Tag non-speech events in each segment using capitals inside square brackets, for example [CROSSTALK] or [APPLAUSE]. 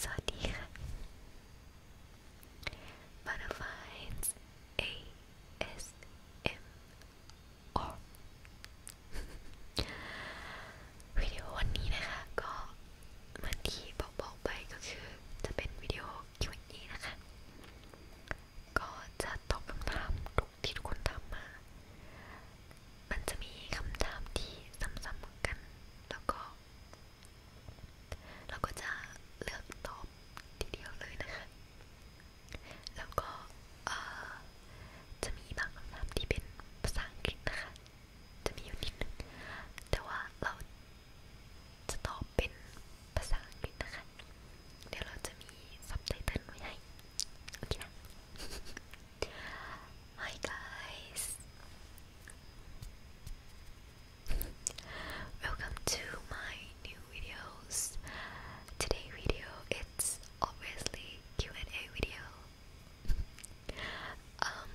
สวัสดีค่ะ Butterflies ASMR วิดีโอวันนี้นะคะก็เหมือนที่บอกบอกไปก็คือจะเป็นวิดีโอ Q&A นะคะ ก็จะตอบคำถามทุกที่ทุกคนทำมา มันจะมีคำถามที่ซ้ำๆกัน แล้วก็ เราก็จะเลือกตอบทีเดียวเลยนะคะ แล้วก็ จะมีบางคำถามที่เป็นภาษาอังกฤษนะคะ จะมีอยู่นิดนึงแต่ว่าเราจะตอบเป็นภาษาอังกฤษนะคะ เดี๋ยวเราจะมีซับไตเติลไว้ให้ โอเคนะ [LAUGHS] Hi guys. Welcome to my new videos. Today video it's obviously Q&A video. um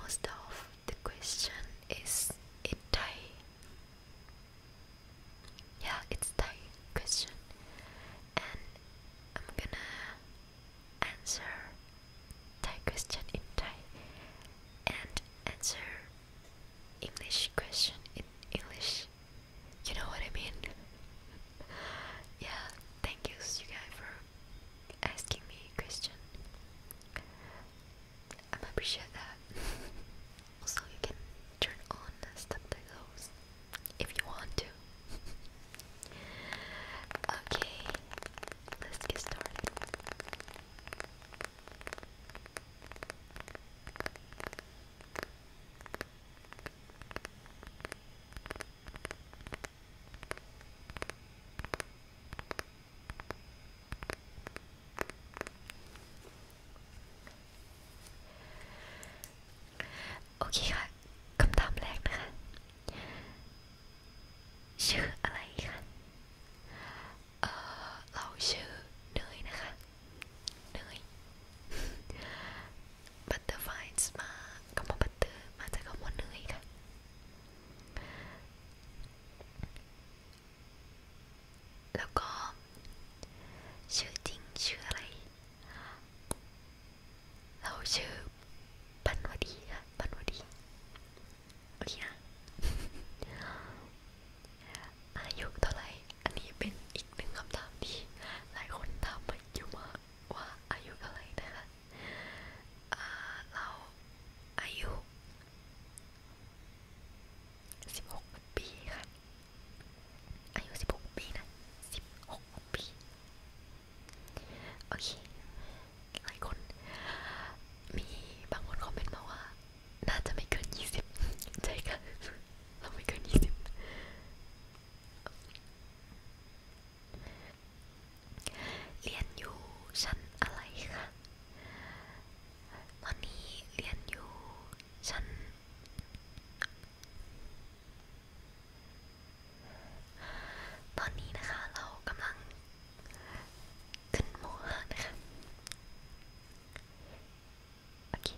most of the question is in Thai. Yeah, it's Thai question, and I'm gonna answer Thai question in Thai and answer English question in English. You know what I mean? [LAUGHS] yeah, thank you, you guys, for asking me question. I'm appreciate that. [LAUGHS] Also, you can turn on the subtitles if you want to. [LAUGHS] okay, let's get started. โอเคค่ะคำถามแรกนะคะ ชื่ออะไรคะเออเราชื่อเนยนะคะเนย butterflies มาคำว่า butter มาจากคำว่าเนยค่ะแล้วก็ชื่อจริงชื่ออะไร เราชื่อปันวดีค่ะปันวดีโอเคนะอายุเท่าไหร่ อันนี้เป็นอีกหนึ่งคำถามที่หลายคนถามมาอยู่มากว่าอายุเท่าไหร่นะคะเราอายุสิบหกปีค่ะอายุสิบหกปีนะสิบหกปี โอเคหลายคน มีบางคนคอมเมนต์มาว่า น่าจะไม่เกินยี่สิบใช่ค่ะ เราไม่เกินยี่สิบเรียนอยู่ชั้นอะไรคะตอนนี้เรียนอยู่ฉันตอนนี้นะคะเรากำลัง ขึ้นโมหะนะคะโอเค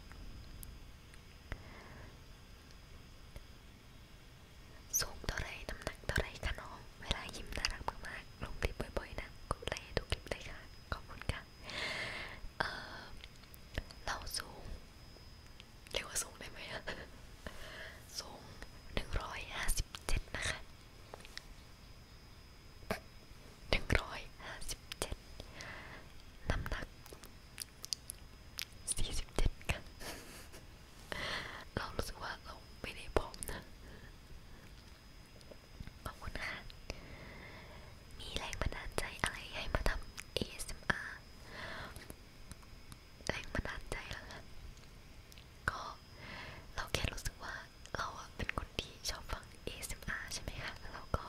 สูงเท่าไรน้ำหนักเท่าไรคะน้องเวลายิ้มน่ารักมากๆลงคลิปบ่อยๆนะกดไลค์ให้ดูคลิปเลยค่ะ ขอบคุณค่ะนะเออเราสูงเรียกว่าสูงได้ไหมอะสูงหนึ่งร้อยห้าสิบเจ็ดนะคะหนึ่งร้อยห้าสิบเจ็ดน้ำหนักสี่สิบเจ็ดกันเรารู้สึกว่าเราไม่ได้ผอมนะขอบคุณค่ะ มีแรงบันดาลใจอะไรให้มาทำ ASMR แรงบันดาลใจแล้วค่ะก็เราแค่รู้สึกว่าเราอะเป็นคนที่ชอบฟัง ASMR ใช่ไหมคะ แล้วเราก็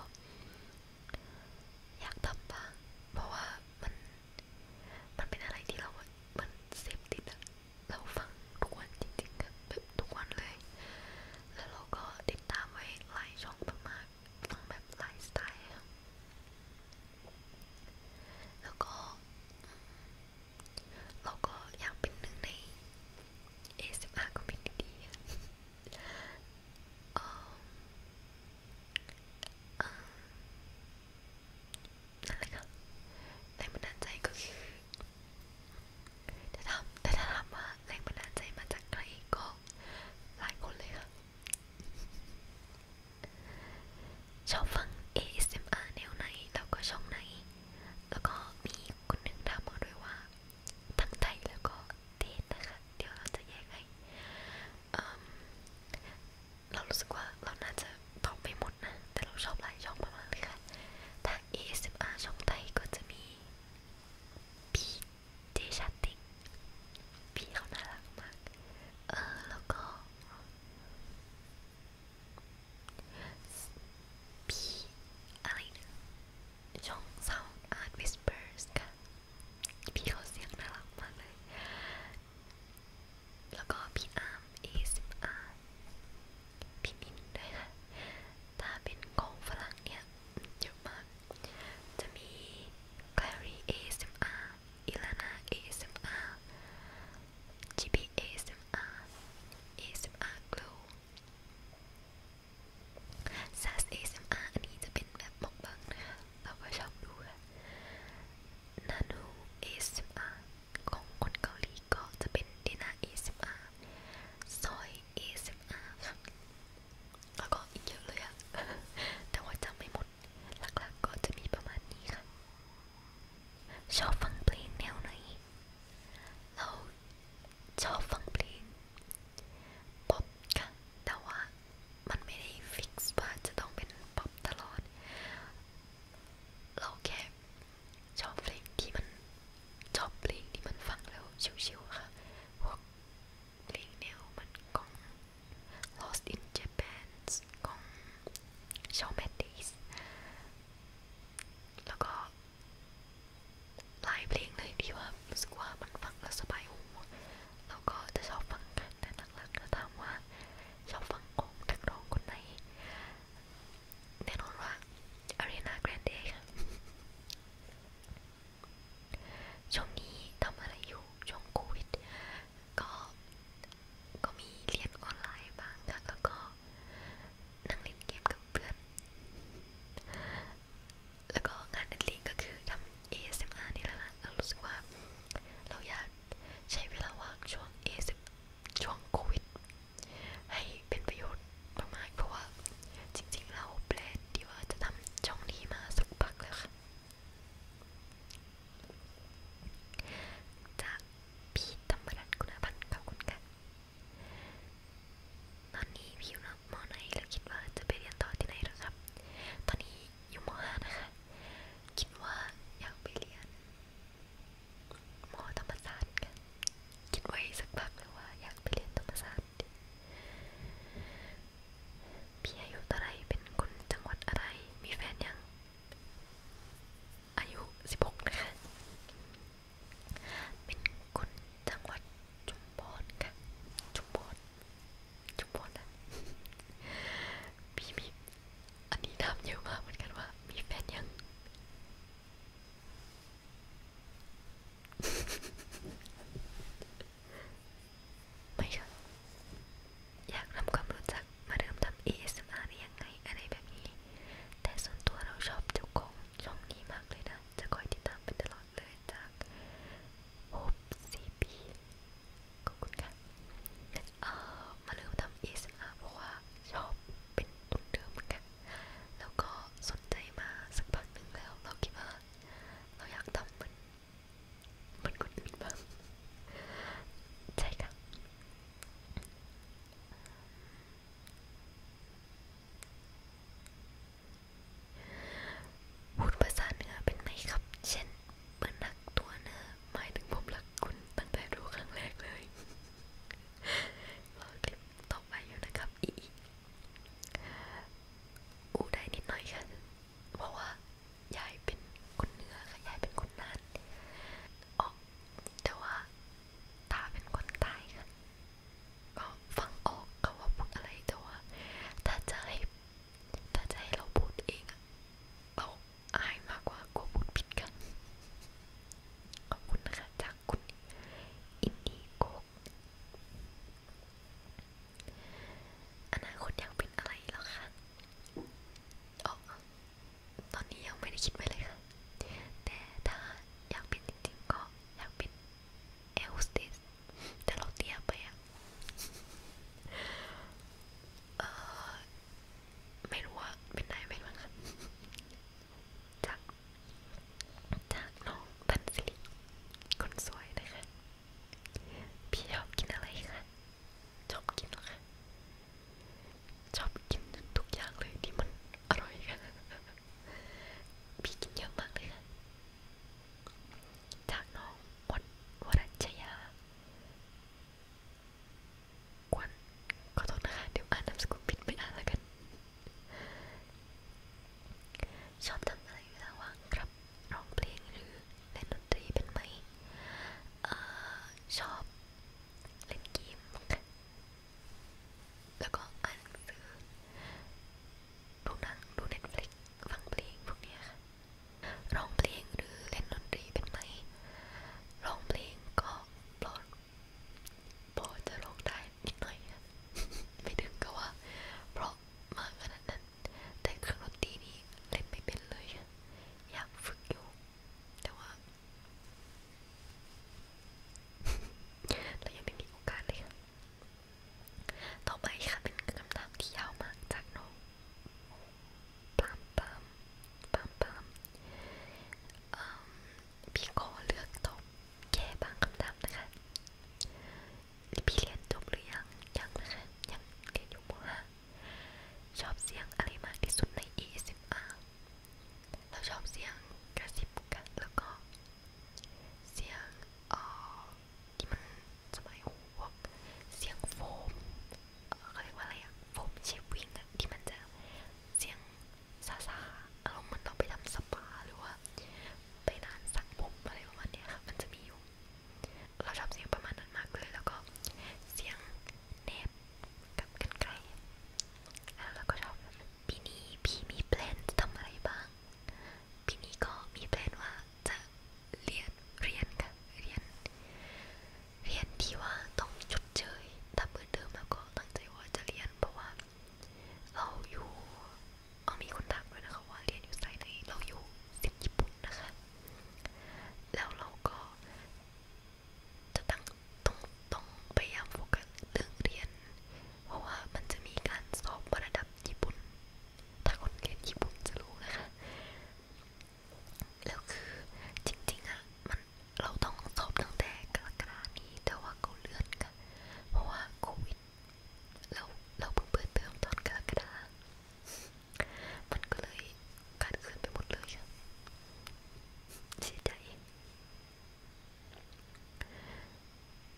อยากทำบ้างเพราะว่ามันมันเป็นอะไรที่เรามันเสพติดอะเราฟังทุกวันจริงๆแบบทุกวันเลย แล้วเราก็ได้ดตามไว้หลายช่องมากๆทั้งแบบหลายสไตล์แล้วก็เราก็อยากเป็นหนึ่งใน ASMR community เอ่อนั่นแหละค่ะแรงบันดาลใจก็คือแต่ถามแต่ถ้าถามว่าแรงบันดาลใจมาจากใครก็ หลายคนเลยค่ะ ชอบฟัง ASMR แนวไหนแล้วก็ช่องไหน แล้วก็มีคนหนึ่งถามมาด้วยว่า ทั้งไทยแล้วก็เทศนะคะเดี๋ยวเราจะแยกให้เรารู้สึกว่าเราน่าจะตอบไม่หมดนะ แต่เราชอบหลายช่องมากๆเลยค่ะ ทาง ASMR ช่องไทยก็จะมีพี่เจชาติพี่เขาน่ารักมากเออแล้วก็ พี่อะไรนะช่อง Sound Art Whispers ค่ะ พี่เขาเสียงน่ารักมากเลยแล้วก็พี่อาร์ม ASMR พี่มินด้วยค่ะถ้าเป็นของฝรั่งเนี่ยเยอะมากจะมี Clary ASMR Ilana ASMR GB ASMR ASMR Glow SAS ASMR อันนี้จะเป็นแบบมกบังนะคะเราก็ชอบดูค่ะ Nano ASMR ของคนเกาหลีก็จะเป็น Dina ASMR ซอย ASMR ค่ะแล้วก็อีกเยอะเลยอะแต่ว่าจำไม่หมด หลักๆกก็จะมีประมาณนี้ค่ะ ชอบฟังเพลงแนวไหน เราชอบฟังเพลง ป๊อปค่ะ แต่ว่ามันไม่ได้ฟิกซ์ว่าจะต้องเป็นป๊อปตลอด เราแค่ชอบเพลงที่มันชอบเพลงที่มันฟังแล้วชิวๆค่ะพวกเพลงแนวมันของ Lost in Japan ของ Shawn Mendes แล้วก็หลายเพลงเลยที่ว่ารู้สึกว่ามันฟังแล้วสบายหูแล้วก็จะชอบฟังกันแต่หลักๆก็ถามว่าชอบฟังของนักร้องคนไหนแน่นอนว่าอารีนาแกรนเดค่ะ ช่วงนี้ทำอะไรอยู่ ช่วงโควิดก็ก็มีเรียนออนไลน์บ้างค่ะแล้วก็นั่งเล่นเกมกับเพื่อน แล้วก็งานเล่นก็คือทำ ASMR นี่แหละค่ะเรารู้สึกว่า เราอยากใช้เวลาว่างช่วง ASMR ช่วงโควิดให้เป็นประโยชน์มากๆเพราะว่าจริงๆเราแปลดีว่าจะทำช่องนี้มาสักพักแล้วค่ะจากพี่ธรรมรัตน์คุณพันธ์ขอบคุณค่ะตอนนี้พี่อยู่มอไหนแล้วคิดว่าจะไปเรียนต่อที่ไหนหรอครับ ตอนนี้อยู่มห้านะคะคิดว่าอยากไปเรียนมธรรมศาสตร์กันคิดไว้สักพักแล้วว่าอยากไปเรียนธรรมศาสตร์พี่อายุเท่าไรเป็นคนจังหวัดอะไรมีแฟนยังอายุสิบหกนะคะเป็นคนจังหวัดจุมพรค่ะจุมพรจุมพรนะพี่มีอันนี้ถามเยอะมากเหมือนกันว่า มีแฟนยังไม่ค่ะอยากทำความรู้จักมาเริ่มทำ ASMR ได้ยังไงอะไรแบบนี้ แต่ส่วนตัวเราชอบเจ้าของช่องนี้มากเลยนะ จะคอยติดตามไปตลอดเลยจากโฮปซีพีขอบคุณค่ะเอ่อมาเริ่มทำ ASMR เพราะว่าชอบเป็นตุนเดิมเหมือนกันแล้วก็สนใจมาสักพักหนึ่งแล้ว เราคิดว่าเราอยากทำเหมือนเหมือนคนอื่นบ้างใช่ค่ะพูดภาษาเหนือเป็นไหมครับ เช่นเปิ้นรักตัวเนอหมายถึงผมรักคุณตั้งแต่รู้ครั้งแรกเลยรอคลิปต่อไปอยู่นะครับอีอูได้นิดหน่อยค่ะเพราะว่ายายเป็นคนเหนือค่ะยายเป็นคนน่านอ๋อแต่ว่าตาเป็นคนใต้ค่ะ ก็ฟังออกเขาว่าพูดอะไรแต่ว่าถ้าจะให้ ถ้าจะให้เราพูดเองอะเราอายมากกว่ากลัวพูดผิดกัน ขอบคุณนะคะจากคุณอินดีโกอนาคตอยากเป็นอะไรหรอคะอ๋อตอนนี้ยังไม่ได้คิดไว้เลยค่ะ แต่ถ้าอยากเป็นจริงๆก็อยากเป็นเอลสติสแต่เราเตี้ยไปอะเออไม่รู้ว่าเป็นได้ไหมบ้างค่ะจากจากน้องพันสิริคนสวยนะคะพี่ชอบกินอะไรคะชอบกินหรอคะชอบกินทุกอย่างเลยที่มันอร่อยค่ะพี่กินเยอะมากเลยค่ะจากน้องวันวรัชยาวันขอโทษนะคะเดี๋ยวอ่านนามสกุลผิดไม่อ่านแล้วกันชอบทำอะไรอยู่ระหว่างครับร้องเพลงหรือเล่นดนตรีเป็นไหม เออชอบเล่นเกมแล้วก็อ่านหนังสือ ดูหนังดู Netflix ฟังเพลงพวกนี้ค่ะร้องเพลงหรือเล่นดนตรีเป็นไหมร้องเพลงก็ปลดพอจะร้องได้นิดหน่อยนะไม่ถึงก็ว่าเพราะมากขนาดนั้นแต่เครื่องดนตรีนี้เล่นไม่เป็นเลยอยากฝึกอยู่ แต่ว่าเรายังไม่มีโอกาสเลยค่ะต่อไปค่ะเป็นคำถามที่ยาวมากจากน้องปั๊มปั๊มปั๊มปั๊มพี่ขอเลือกตอบแก้บางคำถามนะคะพี่เรียนจบหรือยังยังนะคะยังเรียนอยู่ม .5 ชอบเสียงอะไรมากที่สุดใน ASMR เราชอบเสียงกระซิบกันแล้วก็ เสียงเอ่อที่มันสมัยหูพวกเสียงโฟมเขาเรียกว่าอะไรอะโฟมเชฟวิ่งอะที่มันจะเสียงซาซาอารมณ์มันต้องไปทำสปาหรือว่าไปร้านสักผมอะไรประมาณนี้ค่ะมันจะมีอยู่ เราชอบเสียงประมาณนั้นมากเลย แล้วก็เสียงเนบกับกันไกลแล้วเราก็ชอบปีนี้พี่มีแพลนจะทำอะไรบ้างปีนี้ก็มีแพลนว่าจะเรียนเรียนค่ะเรียน เรียนที่ว่าต้องชดเชยถ้าเปิดเทอมแล้วก็ตั้งใจว่าจะเรียนเพราะว่าเราอยู่เอามีคนทักด้วยนะคะว่าเรียนอยู่สายไหนเราอยู่สิบญี่ปุ่นนะคะ แล้วเราก็จะตั้งต้องต้องพยายามโฟกัสเรื่องเรียน เพราะว่ามันจะมีการสอบระดับญี่ปุ่น ถ้าคนเรียนญี่ปุ่นจะรู้นะคะ แล้วคือจริงๆอะมันเราต้องสอบตั้งแต่กรกฎานี้แต่ว่าเขาเลื่อนกันเพราะว่าโควิด เราเราเพิ่งเปิดเทอมตอนกรกฎามันก็เลยการคืนไปหมดเลยเสียใจ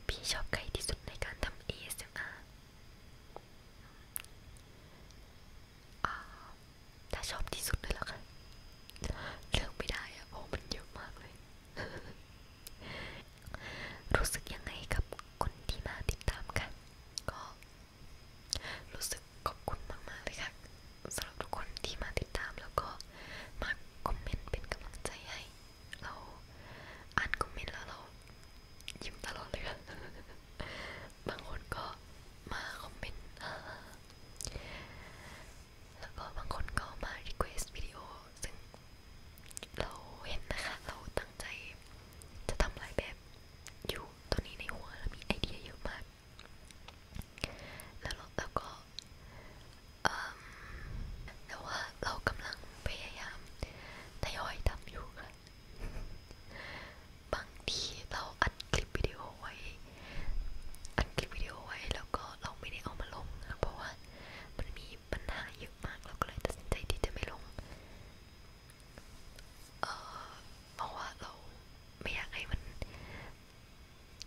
พี่ชอบใครที่สุดในการทำ ASMR อ่าถ้าชอบที่สุดเลยล่ะค่ะเลือกไม่ได้อะเพราะมันเยอะมากเลย รู้สึกยังไงกับคนที่มาติดตามค่ะก็ รู้สึกขอบคุณมากๆเลยค่ะสำหรับทุกคนที่มาติดตามแล้วก็มาคอมเมนต์เป็นกำลังใจให้เราอ่านคอมเมนต์แล้วเรายิ้มตลอดเลยค่ะบางคนก็มาคอมเมนต์แล้วก็บางคนก็มา request วิดีโอซึ่งเราเห็นนะคะเราตั้งใจจะทำลายแบบอยู่ตอนนี้ในหัวเรามีไอเดียเยอะมาก แล้วเราก็แต่ว่าเรากำลังพยายามทยอยทำอยู่ค่ะบางทีเราอัดคลิปลิปวิดีโอไว้อัดคลิปวิดีโอไว้แล้วก็เราไม่ได้เอามาลงนะเพราะว่ามันมีปัญหาเยอะมากเราก็เลยตัดสินใจที่จะไม่ลง เออเพราะว่าเราไม่อยากให้มัน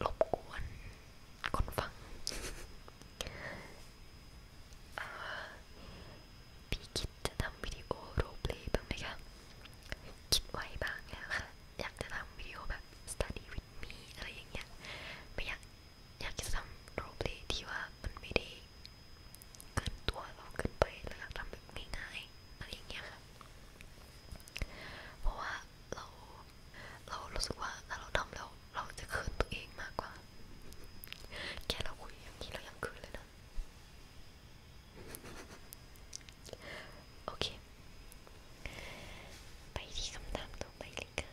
รบกวนคนฟังพี่คิดจะทำวิดีโอโรลเพลย์บ้างไหมคะคิดไว้บ้างแล้วค่ะอยากจะทำวิดีโอแบบ study with me อะไรอย่างเงี้ยไม่อยากอยากจะทำโรลเพลย์ที่ว่ามันไม่ได้เกินตัวเราเกินไปแล้วอยากทำแบบง่ายๆอะไรอย่างเงี้ยค่ะ เพราะว่าเราเรารู้สึกว่าถ้าเราทำแล้วเราจะคืนตัวเองมากกว่า แค่เราคุยอย่างนี้เรายังคืนเลยนะโอเค ไปที่คำถามต่อไปเลยค่ะ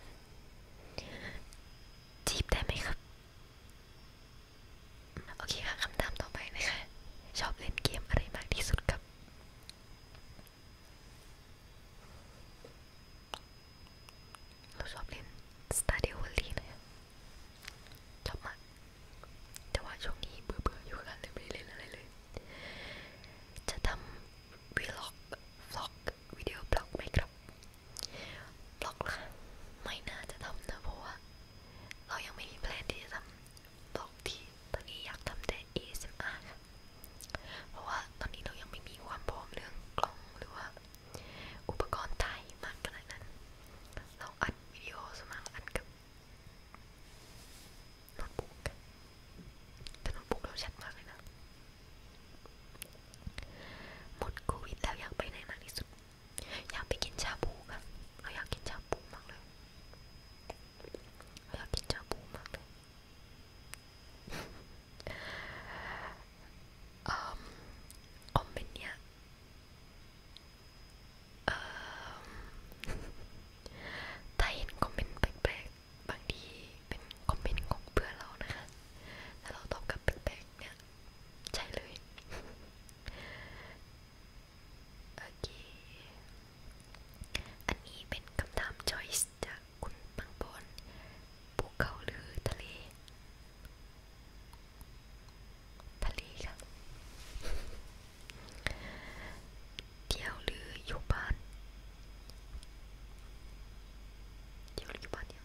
จีบได้ไหมครับโอเคค่ะคำถามต่อไปนะคะ ชอบเล่นเกมอะไรมากที่สุดครับเราชอบเล่น Stadio Valley เลยชอบมาก แต่ว่าช่วงนี้เบื่อๆอยู่กันเลยไม่เล่นอะไรเลยจะทำวีล็อกฟล็อก วิดีโอบล็อกไหมครับบล็อกละไม่น่าจะทำนะ เพราะว่าเรายังไม่มีแพลนที่จะทำบล็อกที่ตอนนี้อยากทำแต่ ASMR ค่ะเพราะว่าตอนนี้เรายังไม่มีความพร้อมเรื่องกล้อง หรือว่า อุปกรณ์ถ่ายมากขนาดนั้น เราอัดวิดีโอสมัครอัดกับโน้ตบุ๊กแต่โน้ตบุ๊กเราชัดมากเลยนะหมดโควิดแล้วอยากไปไหนมากที่สุดอยากไปกินชาบูค่ะเราอยากกินชาบูมากเลยเราอยากกินชาบูมากเลยอมอมเป็นเนี่ยเออถ้าเห็นคอมเมนต์แปลกๆ บางทีเป็นคอมเมนต์ของเพื่อนเรานะคะถ้าเราตอบกลับแปลกๆ เนี่ยใช่เลยโอเคอันนี้เป็นคำถามจอยส์จากคุณปังปอนภูเขาหรือทะเล ทะเลค่ะเดี่ยวหรืออยู่บ้านเดี่ยวหรืออยู่บ้านเนี่ย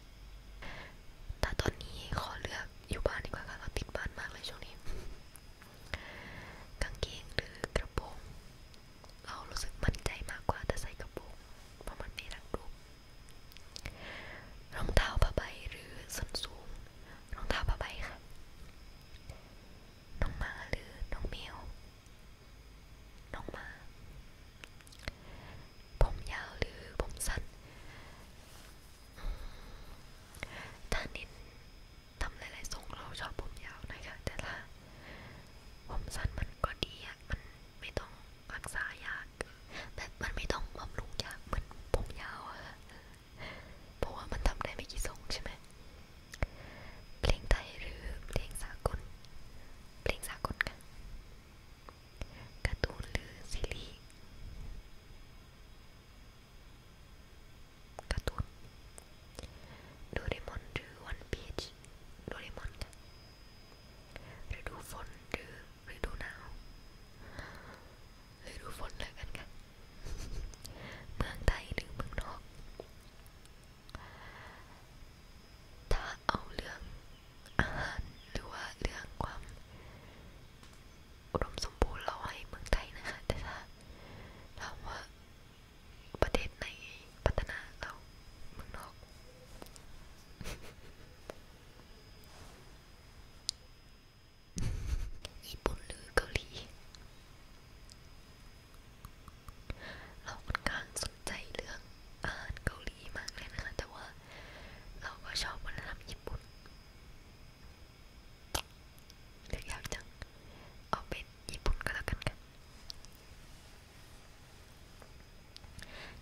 แต่ตอนนี้ขอเลือกอยู่บ้านดีกว่าค่ะเราติดบ้านมากเลยช่วงนี้ กางเกงหรือกระโปรงเรารู้สึกมั่นใจมากกว่าแต่ใส่กระโปรงเพราะมันไม่รักรูปรองเท้าผ้าใบหรือส้นสูง รองเท้าผ้าใบค่ะน้องหมาหรือน้องแมวน้องหมา ผมยาวหรือผมสั้น ถ้านินทำหลายๆทรงเราชอบผมยาวนะคะแต่ถ้าผมสั้นมันก็ดีอะมันไม่ต้องรักษายาก แต่มันไม่ต้องบำรุงยาก เหมือน ผมยาวอะเพราะว่ามันทำได้ไม่กี่ทรงใช่ไหมเพลงไทยหรือเพลงสากลเพลงสากลกันการ์ตูนหรือซีรีส์การ์ตูนโดเรมอนหรือวันพีชโดเรมอนกันฤดูฝนหรือฤดูหนาวฤดูฝนเลยกันค่ะเมืองไทยหรือเมืองนอก ถ้าเอาเรื่องอาหารหรือว่าเรื่องความอุดมสมบูรณ์เราให้เมืองไทยนะคะ แต่ถ้าถามว่าประเทศไหนพัฒนาเราเมืองนอกญี่ปุ่นหรือเกาหลี เราค่อนข้างสนใจเรื่องอาหารเกาหลีมากเลยนะคะแต่ว่าเราก็ชอบวัฒนธรรมญี่ปุ่นเลือกยากจังเอาเป็นญี่ปุ่นก็แล้วกันค่ะ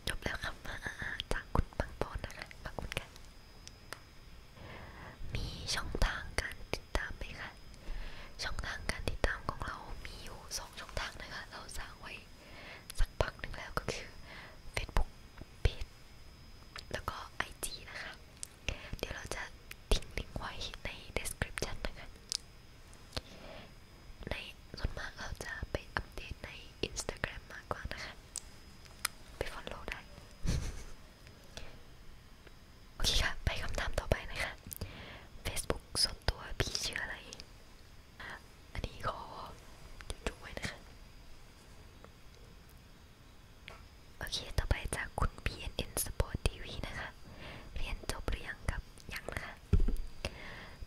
จบแล้วคำอาอาจากคุณปังปอนนะคะ ขอบคุณค่ะมีช่องทางการติดตามไหมคะช่องทางการติดตามของเรามีอยู่สองช่องทางนะคะ เราสร้างไว้สักพักหนึ่งแล้วก็คือ Facebook Page แล้วก็ IG นะคะ เดี๋ยวเราจะทิ้งลิงก์ไว้ใน description นะคะในส่วนมากเราจะไปอัปเดตใน Instagram มากกว่านะคะ ไป follow ได้โอเคค่ะไปคำถามต่อไปนะคะ Facebook ส่วนตัวพี่ชื่ออะไร อันนี้ขอจุ๊บไว้นะคะ โอเค ต่อไปจากคุณ PNN Sport TV นะคะ เรียนจบหรือยังครับยังนะคะ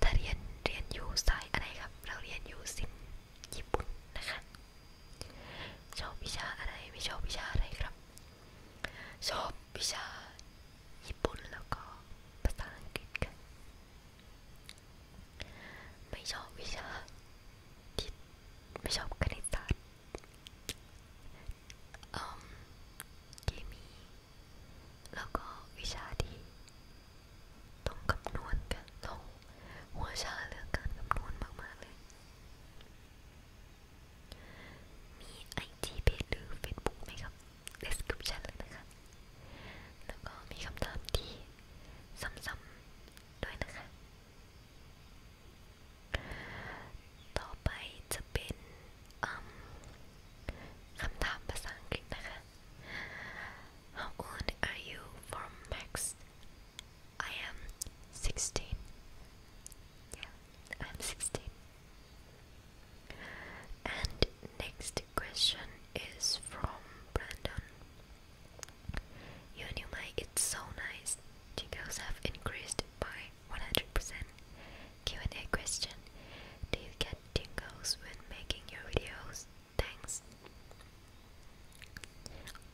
ถ้าเรียนเรียนอยู่สายอะไรครับ เราเรียนอยู่สินญี่ปุ่นนะคะ ชอบวิชาอะไรไม่ชอบวิชาอะไรครับโชอบวิชาญี่ปุ่นแล้วก็ภาษาอังกฤษกัน ไม่ชอบวิชาที่ไม่ชอบคณิตศาสตร์เคมี แล้วก็วิชาที่ต้องคำนวณกันเราหัวชาเรื่องการคำนวณมากๆเลยมีไอจีเพจหรือเฟซบุ๊กไหมครับ description เลยนะคะ แล้วก็มีคำถามที่ซ้ำๆด้วยนะคะ ต่อไปจะเป็นคำถามภาษาอังกฤษนะคะ How old are you from Max? I am 16. Yeah, I'm 16. And next question is from Brandon. Yonimai, it's so nice. Tickles have increased by 100%. Q&A question. Do you get tingles when making your videos? Thanks.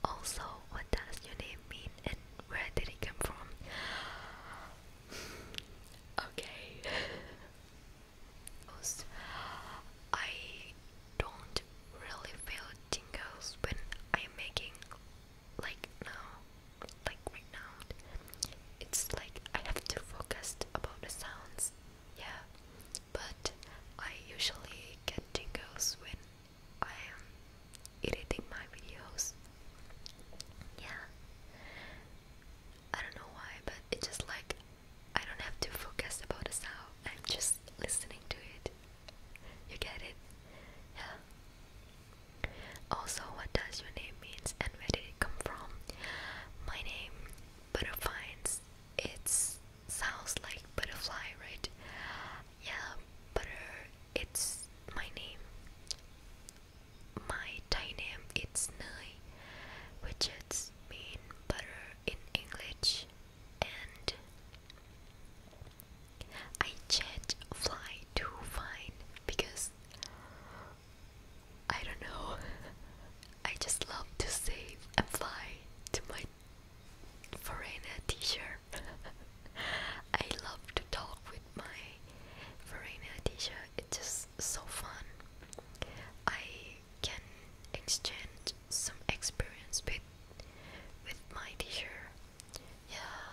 Also, what does your name mean and where did it come from? [SIGHS] okay. [LAUGHS] I don't really feel tingles when I'm making like now, like right now. It's like I have to focus about the sounds, yeah. But I usually get tingles when I am editing my videos. Yeah. I don't know why, but it's just like I don't have to focus about the sound. I'm just listening to it. You get it? Yeah. Also, what does your name means and where did it come from? My name, Butterfines. It sounds like butterfly, right? Yeah, butter it's my name. My Thai name is Nai, which is mean butter in English, and I changed fly to fine because I don't know. [LAUGHS] I just love to save and fly to my foreigner teacher. [LAUGHS] I love to talk with my foreigner teacher. It's just so fun. I can exchange some experience with with my teacher. Yeah,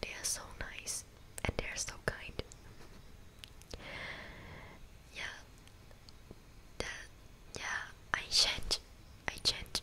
they are so nice and they are so kind. yeah, that yeah. I change. I change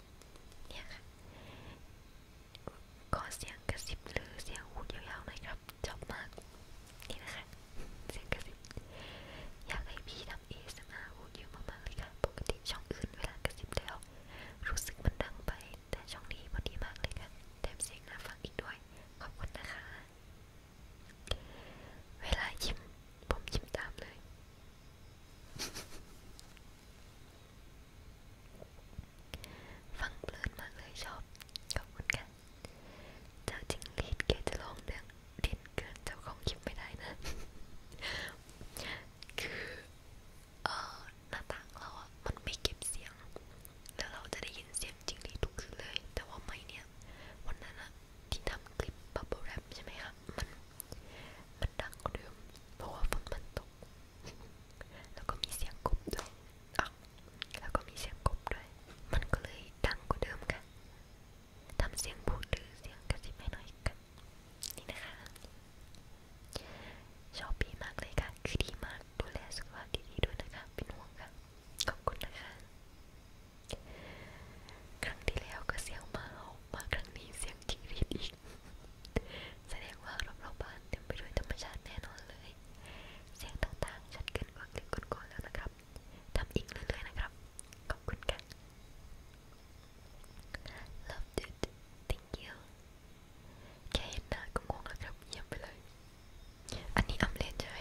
เนี่ยค่ะขอเสียงกระซิบหรือเสียงหูยาวๆหน่อยครับชอบมากนี่นะคะ เสียงกระซิบ อยากให้พี่ทำเอสมาหูเยอะมากๆเลยค่ะปกติช่องอื่นเวลากระซิบแล้วรู้สึกมันดังไปแต่ช่องนี้พอดีมากเลยค่ะแถมเสียงน่าฟังอีกด้วย ขอบคุณนะคะ เวลายิ้มผมยิ้มตามเลยฟังเพลินมากเลยชอบขอบคุณค่ะเจ้าจริงลีดเกจะลองเรื่องดินเกินเจ้าของคลิปไม่ได้นะ คือ เออหน้าต่างเราอะมันไม่เก็บเสียง แล้วเราจะได้ยินเสียงจริงลีดทุกคืนเลยแต่ว่าไม่เนี่ย วันนั้นอะที่ทำคลิปบับเบิ้ลแรปใช่ไหมคะมันมันดังกว่าเดิมเพราะว่าฝนมันตกแล้วก็มีเสียงกบด้วยอ่ะแล้วก็มีเสียงกบด้วย มันก็เลยดังกว่าเดิมค่ะทำเสียงพูดหรือเสียงกระซิบให้หน่อยกันนี่นะคะชอบพี่มากเลยค่ะคือดีมากดูแลสุขภาพดีๆด้วยนะคะเป็นห่วงค่ะขอบคุณนะคะครั้งที่แล้วก็เสียงหมาออกมาครั้งนี้เสียงจิ้งหรีดอีกแสดงว่ารอบๆบ้านเต็มไปด้วยธรรมชาติแน่นอนเลย เสียงต่างๆชัดเกินกว่าคลิปก่อนๆแล้วนะครับทำอีกเรื่อยๆนะครับขอบคุณค่ะ Loved it thank you แค่เห็นหน้าก็งงแล้วครับเยี่ยมไปเลย อันนี้อัมเลนใช่ไหม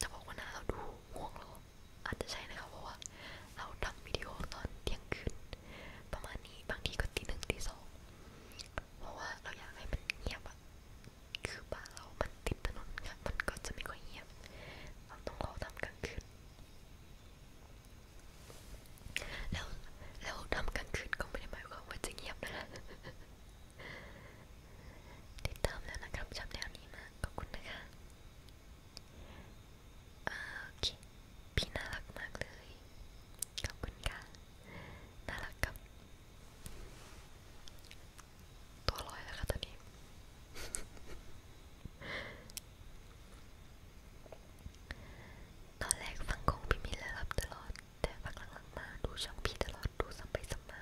จะบอกว่าหน้าเราดูง่วงหรออาจจะใช่นะคะเพราะว่าเราทำวิดีโอตอนเที่ยงคืนประมาณนี้บางทีก็ตีหนึ่งตีสองเพราะว่าเราอยากให้มันเงียบอะคือบ้านเรา มันติดถนนค่ะมันก็จะไม่ค่อยเงียบเราต้องขอทำกลางคืนแล้วแล้วทำกลางคืนก็ไม่ได้หมายความว่าจะเงียบนะติดตามแล้วนะครับชอบแนวนี้มากขอบคุณนะคะโอเค พี่น่ารักมากเลย ขอบคุณค่ะ น่ารักกับ ตัวลอยแล้วค่ะตอนนี้ ตอนแรกฟังของพี่มิลแล้วรับตลอด แต่ฟังหลังๆมาดูช่องพี่ตลอดดูซ้ำไปซ้ำมา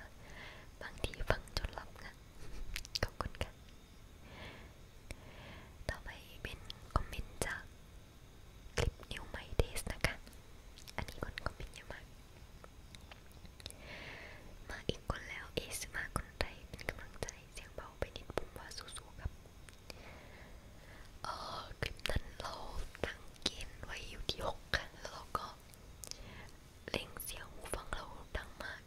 บางทีฟังจนหลับนะขอบคุณค่ะต่อไปเป็นคอมเมนต์จากคลิปนิวไมเดสนะคะ อันนี้คนคอมเมนต์เยอะมาก มาอีกคนแล้วเอสมาคนไทยเป็นกำลังใจเสียงเบาไปนิดปุ่มว่าสู้ๆครับ เออคลิปนั้นเราตั้งเกณฑ์ไว้อยู่ที่6ค่ะแล้วเราก็เล่งเสียงหูฟังเราดังมาก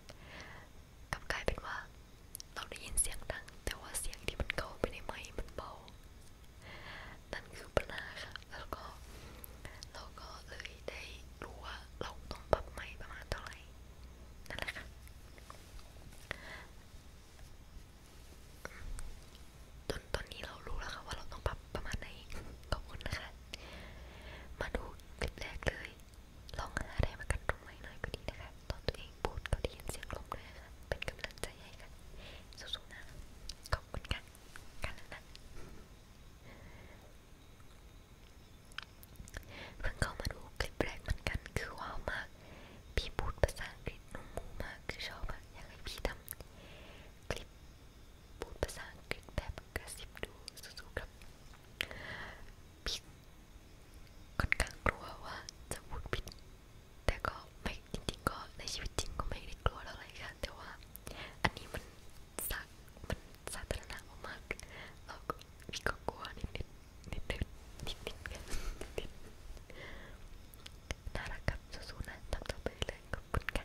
กลับกลายเป็นว่าเราได้ยินเสียงดัง แต่ว่าเสียงที่มันเข้าไปในไมค์มันเบา นั่นคือปัญหาค่ะ แล้วก็เราก็เลยได้รู้ว่าเราต้องปรับไมค์ประมาณเท่าไหร่นั่นแหละค่ะจนตอนนี้เรารู้แล้วค่ะว่าเราต้องปรับประมาณไหน ขอบคุณนะคะ มาดูคลิปแรกเลยลองหาอะไรมากันตรงไว้หน่อยก็ดี นะคะตอนตัวเองพูดก็ได้ยินเสียงลมด้วยค่ะเป็นกำลังใจให้ค่ะสู้ๆนะขอบคุณค่ะกันแล้วนะเพิ่งเข้ามาดูคลิปแรกเหมือนกันคือว้าวมาก พี่พูดภาษาอังกฤษนุ่มมูมากคือชอบอะอยากให้พี่ทำคลิปพูดภาษาอังกฤษแบบกระซิบดูสู้ๆครับพี่ค่อนข้างกลัวว่าจะพูดผิด แต่ก็ไม่จริงๆก็ในชีวิตจริงก็ไม่ได้กลัวอะไรค่ะแต่ว่าอันนี้มันสามันสาธารณะมากๆเราก็พี่ก็กลัวนิดๆนิดๆนิดๆกันนิดๆน่ารักครับสู้ๆนะทำต่อไปเลยขอบคุณค่ะ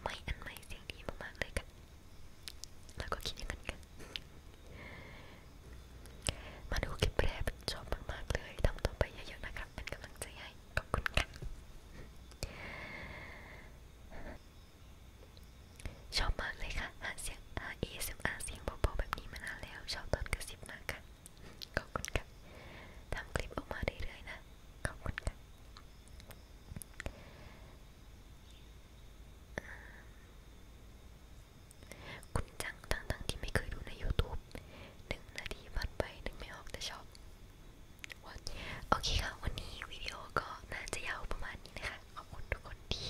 ไม่อันใหม่เสียงดีมากๆเลยค่ะแล้วก็คิดอย่างนั้นกันมาดูคลิปแรกเป็นชอบมากๆเลยทำต่อไปเยอะๆนะครับเป็นกำลังใจให้ขอบคุณค่ะ ชอบมากเลยค่ะหาเสียง ASMR เสียงเบาๆแบบนี้มานานแล้ว ชอบตอนกระซิบมากค่ะขอบคุณค่ะทำคลิปออกมาเรื่อยๆนะ ขอบคุณค่ะคุณจังทั้งๆที่ไม่เคยดูใน YouTube หนึ่งนาทีผ่านไปนึกไม่ออกแต่ชอบ What? โอเคค่ะวันนี้วิดีโอก็น่าจะยาวประมาณนี้นะคะขอบคุณทุกคนที่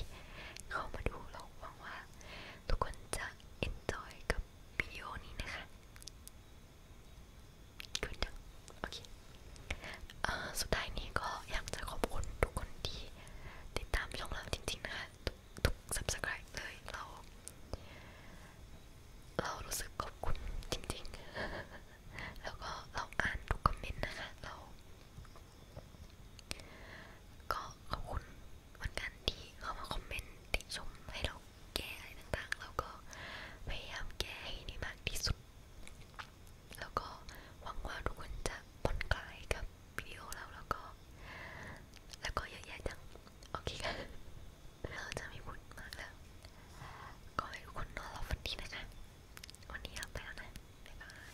เข้ามาดูเราหวังว่า ทุกคนจะ enjoy กับวิดีโอนี้นะคะขึ้นจังโอเคเอ่อสุดท้ายนี้ก็อยากจะขอบคุณทุกคนที่ติดตามช่องเราจริงๆนะคะทุก subscribe เลยเราเรารู้สึกขอบคุณจริง ๆ แล้วก็เราอ่านทุกคอมเมนต์นะคะเราก็ขอบคุณเหมือนกันที่เข้ามาคอมเมนต์ติชมให้เราแก้อะไรต่างๆ แล้วก็พยายามแก้ให้ได้มากที่สุดแล้วก็หวังว่าทุกคนจะผ่อนคลายกับวิดีโอเราแล้วก็ แล้วก็เยอะแยะจัง โอเคค่ะเราจะไม่พูดมากแล้ว ก็ให้ทุกคนนอนหลับฝันดีนะคะ วันนี้เราไปแล้วนะบ๊ายบาย